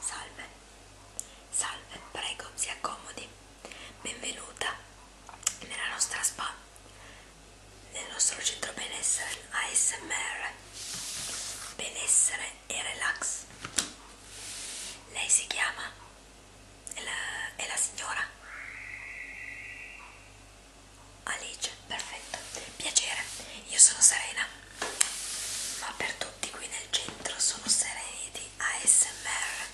Salve, salve, prego, si accomodi. Benvenuta nella nostra spa, nel nostro centro benessere ASMR. Benessere e relax. Lei si chiama? È la, è la signora? Alice, perfetto. Piacere, io sono Serena ma per tutti qui nel centro sono sereniti ASMR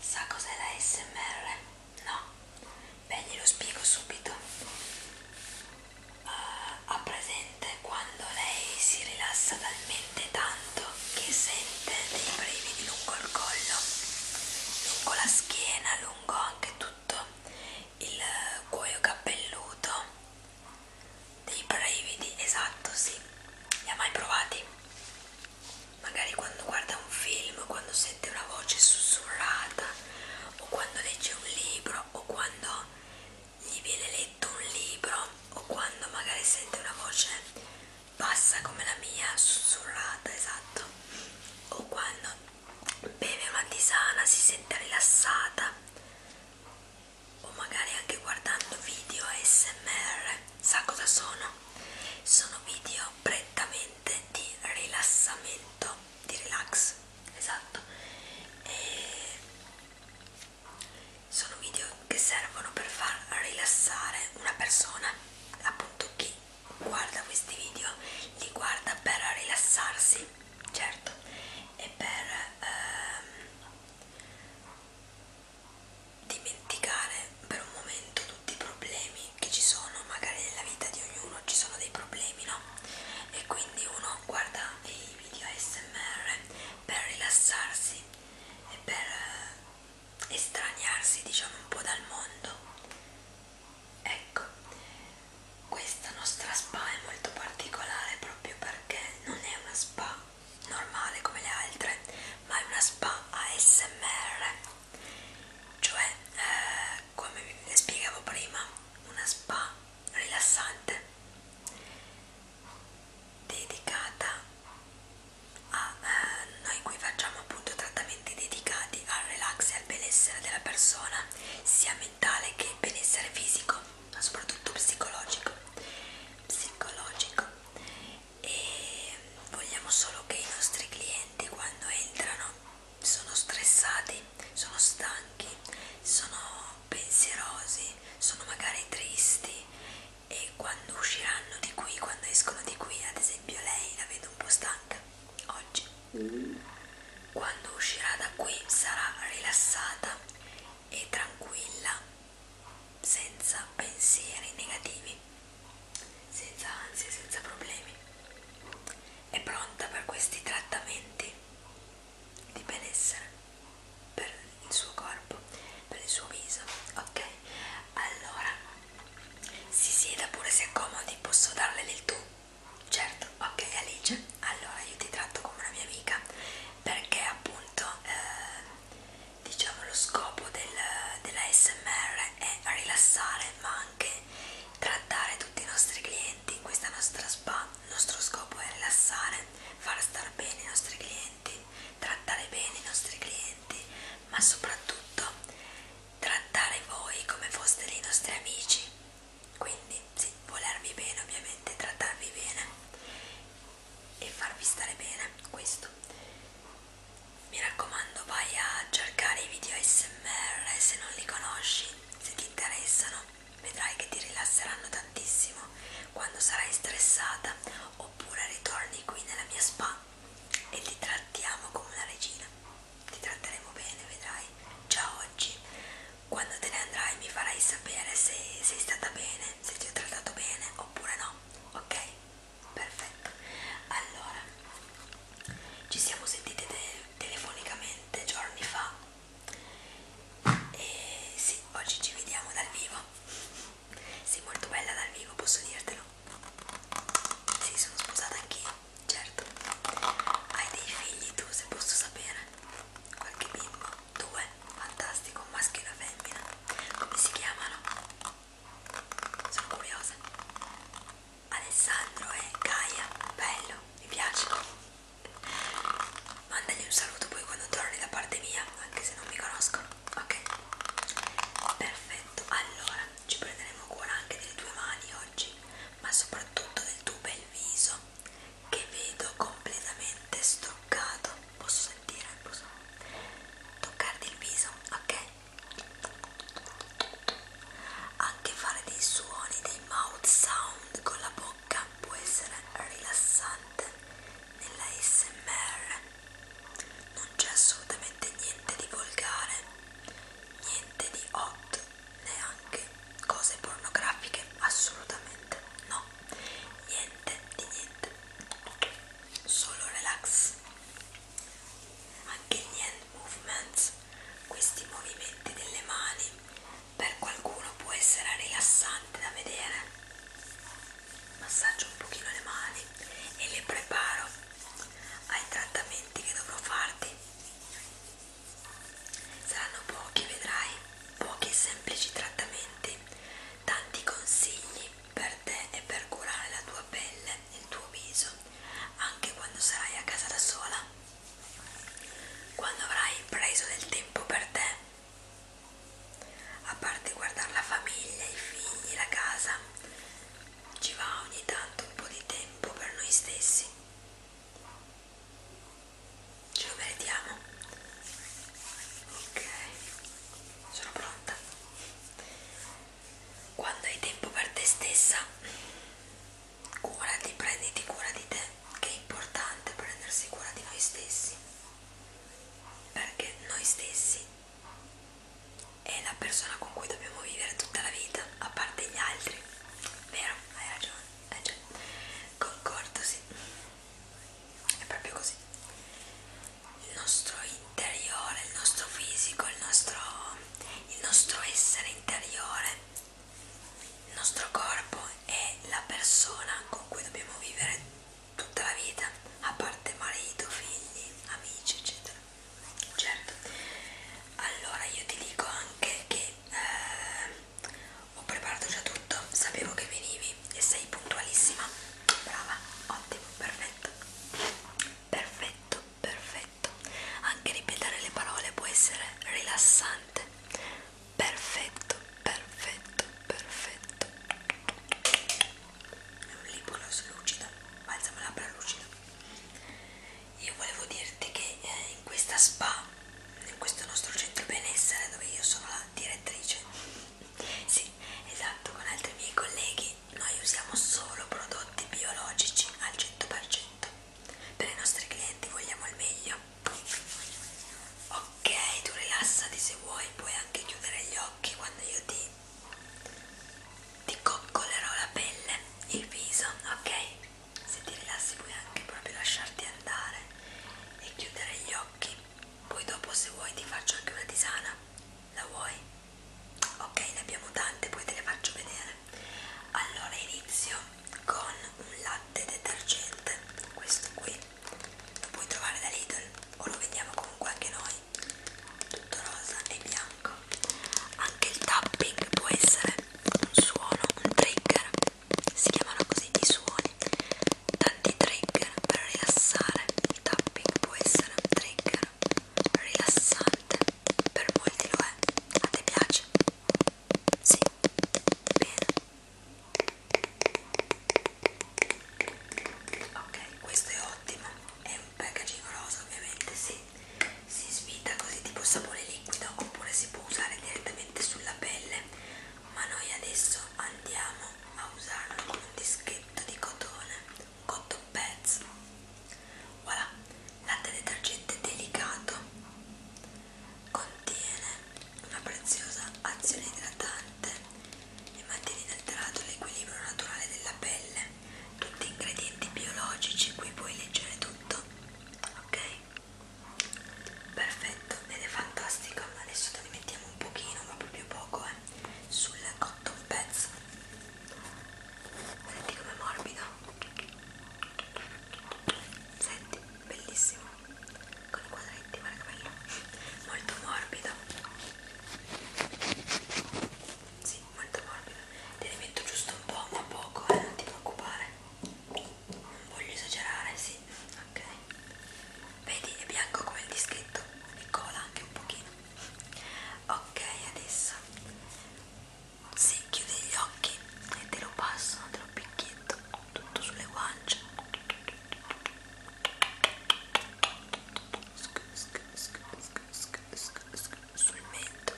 sa cos'è la ASMR? no? beh glielo spiego subito uh, ha presente quando lei si rilassa talmente tanto che sente dei brividi lungo il collo lungo la schiena lungo anche tutto il cuoio cappelluto dei brividi, esatto, sì, li ha mai provati? Magari quando guarda un film, quando sente una voce sussurrata, o quando legge un libro, o quando gli viene letto un libro, o quando magari sente una voce bassa come la mia, sussurrata, esatto, o quando beve una tisana si sente rilassata o magari anche guardando video ASMR sa cosa sono? sono video prettamente di rilassamento di relax esatto e sono video che servono per far rilassare una persona appunto chi guarda questi video li guarda per rilassarsi certo e per ehm, dimenticare per un momento tutti i problemi che ci sono, magari nella vita di ognuno ci sono dei problemi, no? E quindi uno guarda i video ASMR per rilassarsi e per eh, estraniarsi diciamo un po' dal mondo ecco questa nostra spa è molto particolare proprio perché non è una spa normale come le altre ma è una spa ASMR cioè eh, come vi spiegavo prima una spa rilassante dedicata a eh, noi qui facciamo appunto trattamenti dedicati al relax e al benessere della persona sia mentale che benessere fisico, ma soprattutto psicologico. Psicologico. E vogliamo solo che i nostri clienti quando entrano sono stressati, sono stanchi, sono pensierosi, sono magari tristi e quando usciranno di qui, quando escono di qui, ad esempio lei la vedo un po' stanca oggi quando uscirà da qui sarà rilassata e tranquilla, senza pensieri negativi, senza ansie, senza problemi. È pronta per questi trattamenti di benessere per il suo corpo, per il suo viso, ok? Allora, si sieda pure se è comodi, posso darle del tu Certo, ok Alice, allora io ti tratto come una mia amica perché appunto eh, diciamo lo scopo del, della SMR è rilassare ma anche trattare tutti i nostri clienti, questa nostra spa, il nostro scopo è rilassare, far star bene i nostri clienti, trattare bene i nostri clienti ma soprattutto trattare voi come foste dei nostri amici quindi sì, volervi bene ovviamente, trattarvi bene e farvi stare bene, questo mi raccomando vai a cercare i video ASMR se non li conosci, se ti interessano vedrai che ti rilasseranno tantissimo quando sarai stressata oppure ritorni qui nella mia spa e ti trattiamo come una regina ti tratteremo bene, vedrai. Già oggi, quando te ne andrai, mi farai sapere se sei stata bene, se ti ho trattato bene oppure no, ok? Perfetto. Allora, ci siamo sentite te telefonicamente giorni fa e sì, oggi ci vediamo dal vivo. Sei molto bella dal vivo, posso dirtelo. Sì, sono sposata anch'io. Certo, hai dei figli tu se posso sapere? Qualche bimbo? Due? Fantastico, un maschio e una femmina. Come si chiamano? Sono curiosa. Alessandro e Gaia, bello, mi piace. Mandagli un saluto poi quando torni da parte mia, anche se non mi conosco. Ok, perfetto. Allora, ci prenderemo cura anche delle tue mani oggi ma soprattutto del tuo bel viso che vedo completamente struccato. Posso sentire? Posso toccarti il viso? Ok? Anche fare dei suoni, dei mouth sound con la bocca può essere rilassante nella SMR. Non c'è assolutamente niente di volgare niente di hot, neanche cose pornografiche, assolutamente no, niente di niente, solo relax. Anche gli hand movements, questi movimenti delle mani, per qualcuno può essere rilassante da vedere. Massaggio un pochino le mani e le preparo ai trattamenti che dovrò farti. Saranno pochi, vedrai, pochi e semplici trattamenti, tanti consigli per te e per curare la tua pelle e il tuo viso, anche quando sarai a casa da sola. Quando avrai preso del tempo per te, a parte guardare la famiglia, i figli, la casa, ci va ogni tanto un po' di tempo per noi stessi ce lo meritiamo ok sono pronta quando hai tempo per te stessa curati prenditi cura di te che è importante prendersi cura di noi stessi perché noi stessi è la persona con cui dobbiamo vivere tutta la vita, a parte gli altri, vero? Hai ragione, hai ragione. Concordo, sì, è proprio così. Il nostro interiore, il nostro fisico, il nostro, il nostro essere interiore, il nostro corpo è la persona con cui dobbiamo vivere tutta la vita, a parte marito, figli, amici, eccetera certo allora io ti dico anche che eh, ho preparato già tutto sapevo che venivi e sei puntualissima brava ottimo perfetto perfetto perfetto anche ripetere le parole può essere rilassante perfetto perfetto perfetto è un lip gloss lucida, balsamo labbra lucida. Io volevo dirti che eh, in questa spa, in questo nostro centro benessere dove io sono la direttrice, sì, esatto, con altri miei colleghi, noi usiamo solo prodotti biologici al 100%. Per i nostri clienti vogliamo il meglio. Ok, tu rilassati se vuoi, puoi anche chiudere gli occhi quando io ti ti coccolerò la pelle, il viso, ok? Se ti rilassi puoi anche proprio lasciarti andare e chiudere gli occhi. Poi dopo se vuoi ti faccio anche una tisana. La vuoi? Ok, ne abbiamo tante, poi te le faccio vedere. Allora inizio con un latte detergente, questo qui. Lo puoi trovare da Lidl o lo vendiamo comunque anche noi tutto rosa e bianco anche il tapping può essere un suono, un trigger si chiamano così i suoni tanti trigger per rilassare il tapping può essere un trigger rilassante per molti lo è a te piace? sì? bene ok questo è ottimo è un packaging rosa ovviamente si, si svita così tipo sapone liquido oppure si può usare direttamente sulla pelle ma noi adesso andiamo a usarlo con un dischetto di cotone un cotton pads voilà latte detergente delicato contiene una preziosa azione idratante e mantiene inalterato l'equilibrio naturale della pelle, tutti ingredienti biologici, qui puoi leggere tutto, ok? Perfetto, ed è fantastico, adesso te ne mettiamo un pochino, ma proprio poco, eh, sul cotton pezzo. Senti com'è morbido? Senti, bellissimo, con i quadretti, guarda che bello, molto morbido sì, molto morbido. Te ne metto giusto un po', ma poco, eh, non ti preoccupare. Non voglio esagerare, sì. Ok. Vedi, è bianco come il dischetto e cola anche un pochino. Ok, adesso sì, chiudi gli occhi e te lo passo, te lo picchietto tutto sulle guance sul mento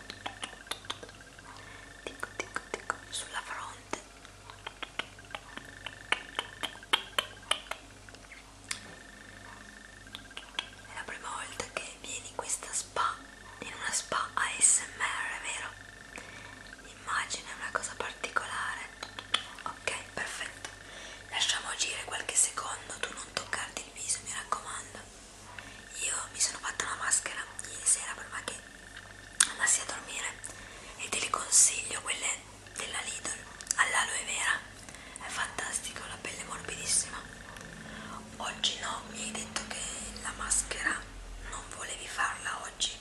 tic tic tic sulla fronte è la prima volta che vieni in questa spa in una spa ASMR vero? immagina una cosa particolare ok perfetto Lasciamo agire qualche secondo, tu non toccarti il viso, mi raccomando. Io mi sono fatta una maschera ieri sera prima che andassi a dormire e te le consiglio, quelle della Lidl all'aloe vera. È fantastico, la pelle è morbidissima. Oggi no, mi hai detto che la maschera non volevi farla oggi,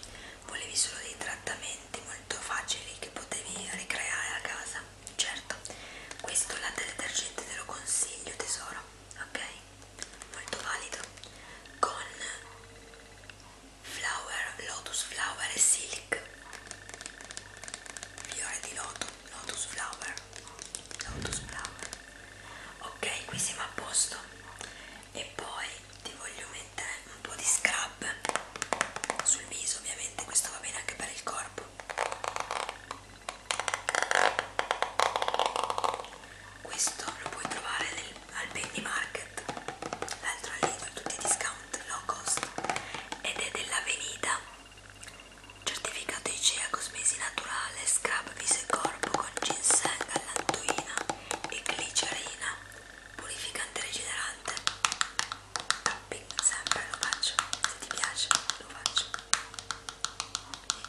volevi solo dei trattamenti molto facili che potevi ricreare a casa certo questo latte detergente te lo consiglio tesoro ok molto valido con flower lotus flower e silk fiore di loto lotus flower lotus flower ok qui siamo a posto e poi ti voglio mettere un po' di scrub sul viso ovviamente mente, questo va bene anche per il corpo. Questo lo puoi trovare nel, al Penny Market, l'altro al Lidl, tutti i discount low cost ed è dell'Avenida. Certificato ICEA cosmesi naturale, scrub viso e corpo con ginseng, allantoina e glicerina, purificante e rigenerante. Bing, sempre lo faccio, se ti piace lo faccio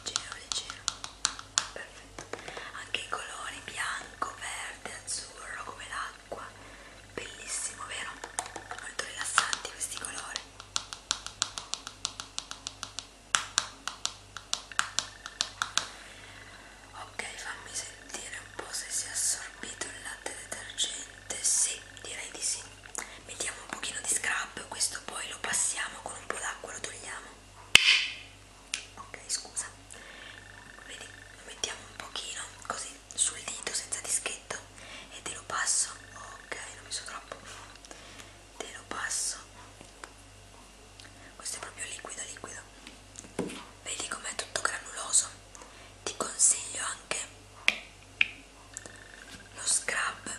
leggero, leggero, perfetto anche i colori bianco, verde, azzurro come l'acqua bellissimo vero? molto rilassanti questi colori ok fammi sentire un po' se si è assorbito il latte detergente sì, direi di sì. Mettiamo un pochino di scrap, questo poi lo passiamo con un po' d'acqua, lo togliamo. Ok, scusa. Vedi, lo mettiamo un pochino così sul dito senza dischetto e te lo passo. Ok, non mi so troppo. Te lo passo. Questo è proprio liquido, liquido. Vedi com'è tutto granuloso ti consiglio anche lo scrub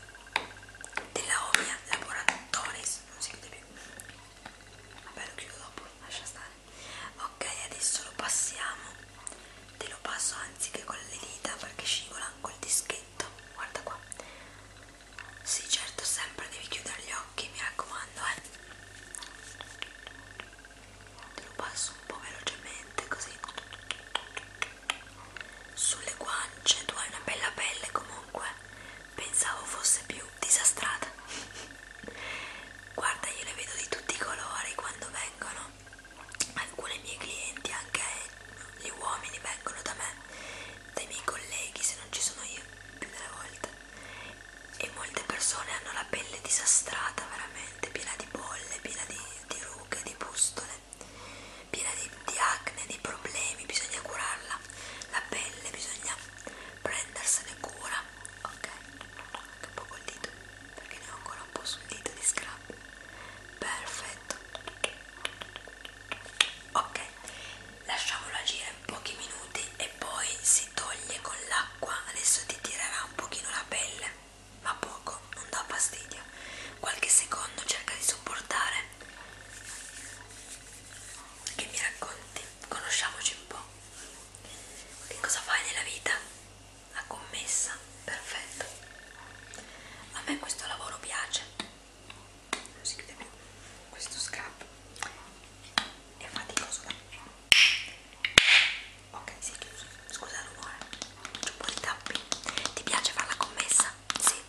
della Omia Laboratories non si vede più vabbè lo chiudo dopo lascia stare ok adesso lo passiamo te lo passo anziché con le dita perché scivola col dischetto guarda qua sì certo sempre devi chiudere gli occhi mi raccomando eh te lo passo un po' velocemente così sulle guance tu hai una bella pelle comunque pensavo fosse più disastrata guarda io le vedo di tutti i colori quando vengono alcune mie clienti anche gli uomini vengono da me dai miei colleghi se non ci sono io più delle volte e molte persone hanno la pelle disastrata veramente, piena di bolle, piena di, di rughe, di pustole, piena di, di acne, di problemi, bisogna curarla, la pelle bisogna prendersene cura, ok? Anche un po' col dito, perché ne ho ancora un po' sul dito di scrub, perfetto, ok, lasciamolo agire pochi minuti e poi si si toglie con l'acqua adesso ti tirerà un pochino la pelle ma poco non dà fastidio qualche secondo cerca di sopportare che mi racconti conosciamoci un po che cosa fai nella vita la commessa perfetto a me questo lavoro piace non si chiude più questo scrap è faticoso da ok si è chiuso scusa il rumore c'è un po' di tappi ti piace fare la commessa? sì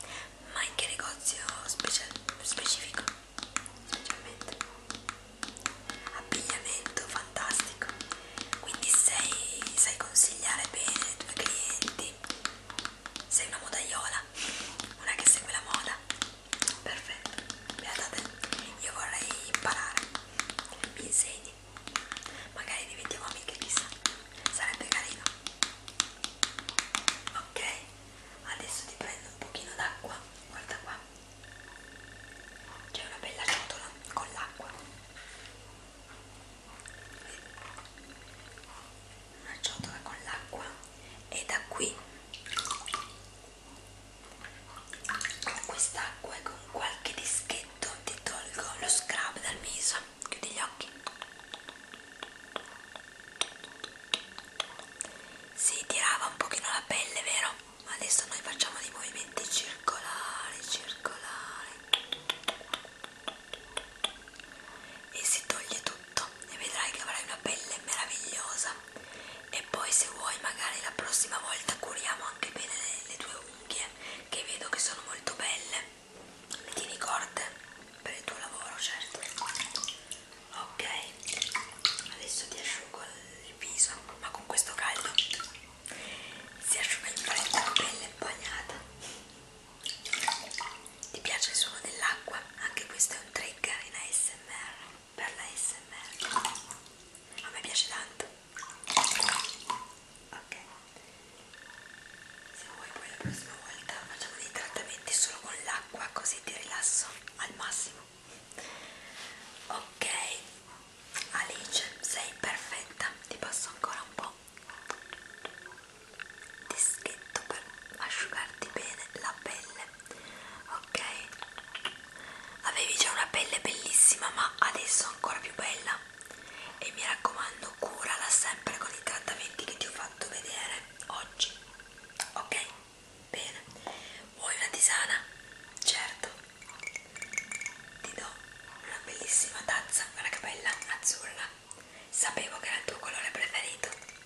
ma in che negozio speci specifico? specialmente abbigliamento fantastico quindi sei, sai consigliare bene ai tuoi clienti sei una modaiola una che segue la moda perfetto beata te io vorrei imparare mi insegni magari diventiamo amiche chissà sarebbe carino ok adesso ti prendo un pochino d'acqua guarda qua c'è una bella ciotola con l'acqua una ciotola con l'acqua e da qui con quest'acqua e con qualche dischetto ti tolgo lo scrub dal viso chiudi gli occhi si tirava un pochino la pelle vero ma adesso noi facciamo dei movimenti circolari circolari e si toglie tutto e vedrai che avrai una pelle meravigliosa e poi se vuoi magari la prossima volta curiamo anche bene le, le tue unghie che vedo che sono molto belle le tieni corte per il tuo lavoro certo ok adesso ti asciugo il viso ma con questo caldo si asciuga in fretta la pelle imbagnata ti piace il suono dell'acqua? anche questo è un trigger in ASMR per la SMR a me piace tanto ok se vuoi poi la prossima volta facciamo dei trattamenti solo con l'acqua così ti rilasso al massimo ok Alice sei perfetta ti passo ancora un po' dischetto per asciugarti bene la pelle ok? Avevi già una pelle bellissima ma adesso ancora più bella e mi raccomando curala sempre con i trattamenti che ti ho fatto vedere oggi, ok? Bene, vuoi una tisana? Certo, ti do una bellissima tazza, guarda che bella, azzurra, sapevo che era il tuo colore preferito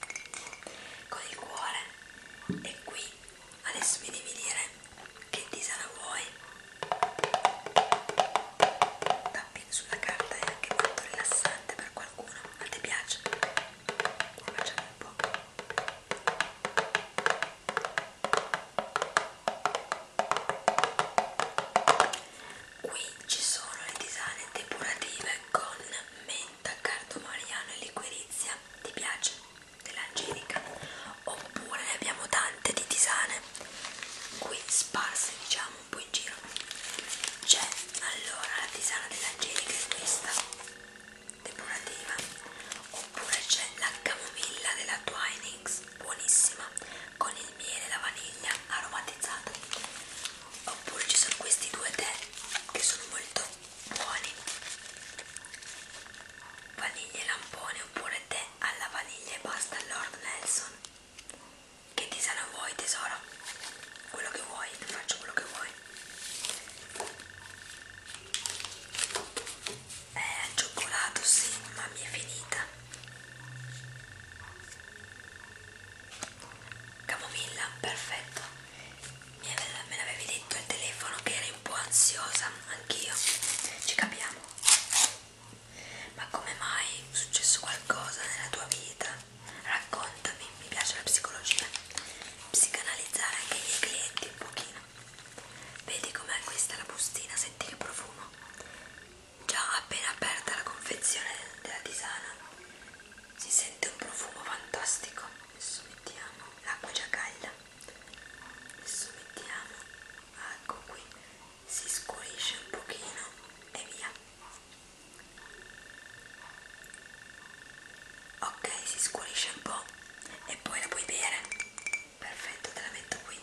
con il cuore e qui adesso mi devi dire che tisana vuoi tappi sulla carta è anche molto rilassante per qualcuno ma ti piace? ne facciamo un po' qui ci sono le tisane depurative con menta, cardomariano e liquirizia questa ti piace dell'angelica oppure ne abbiamo tante di tisane qui sparse diciamo un po' in giro c'è cioè, allora la tisana dell'angelica è questa decorativa oppure c'è la camomilla della Twinings buonissima con il miele e la vaniglia aromatizzata oppure ci sono questi due tè che sono molto buoni vaniglie e lampone oppure tè alla vaniglia e pasta Lord Nelson che tisano vuoi tesoro quello che vuoi ti faccio quello che vuoi è eh, al cioccolato sì ma mi è finita camomilla perfetto mi ave, me l'avevi detto al telefono che eri un po' ansiosa, anch'io, ci capiamo. Ma come mai è successo qualcosa nella tua vita? Raccontami, mi piace la psicologia, psicanalizzare anche i miei clienti un pochino. Vedi com'è questa la bustina, senti che profumo? Già appena aperta la confezione della tisana si sente un profumo fantastico adesso mettiamo l'acqua già calda adesso mettiamo ecco qui si scurisce un pochino e via ok si scurisce un po e poi la puoi bere perfetto te la metto qui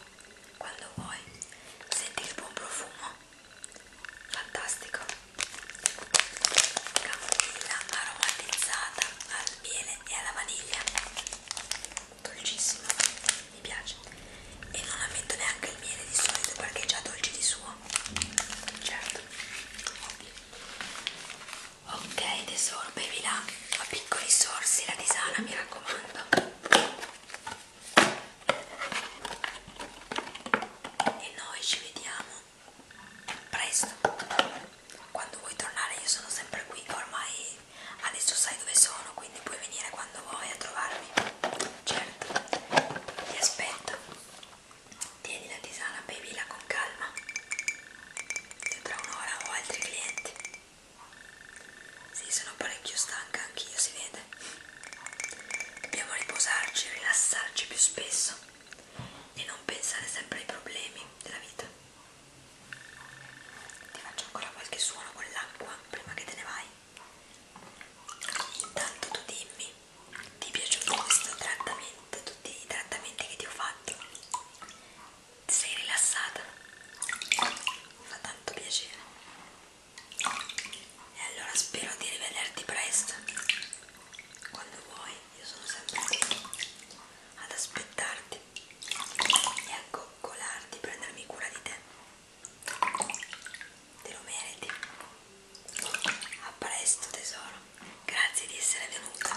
quando vuoi senti che buon profumo fantastico camomilla aromatizzata al miele e alla vaniglia dolcissimo mi piace e non ammetto neanche il miele di solito perché è già dolce di suo certo ok tesoro bevi là a piccoli sorsi la tisana mi raccomando e noi ci vediamo presto quando vuoi tornare io sono sempre qui ormai adesso sai dove sono quindi puoi venire quando vuoi a trovarmi certo ti aspetto tieni la tisana bevila con calma e tra un'ora ho altri clienti sì sono parecchio stanca anch'io si vede dobbiamo riposarci rilassarci più spesso e non pensare sempre ai problemi della vita. Ti faccio ancora qualche suono con l'acqua prima che te ne vai. Intanto tu dimmi, ti è piaciuto questo trattamento, tutti i trattamenti che ti ho fatto? Ti sei rilassata? Mi fa tanto piacere. E allora spero di rivederti presto quando vuoi io sono sempre qui ad aspettarti e a coccolarti, prendermi cura di te te lo meriti a presto tesoro grazie di essere venuta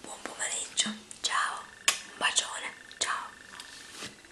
buon pomeriggio ciao un bacione ciao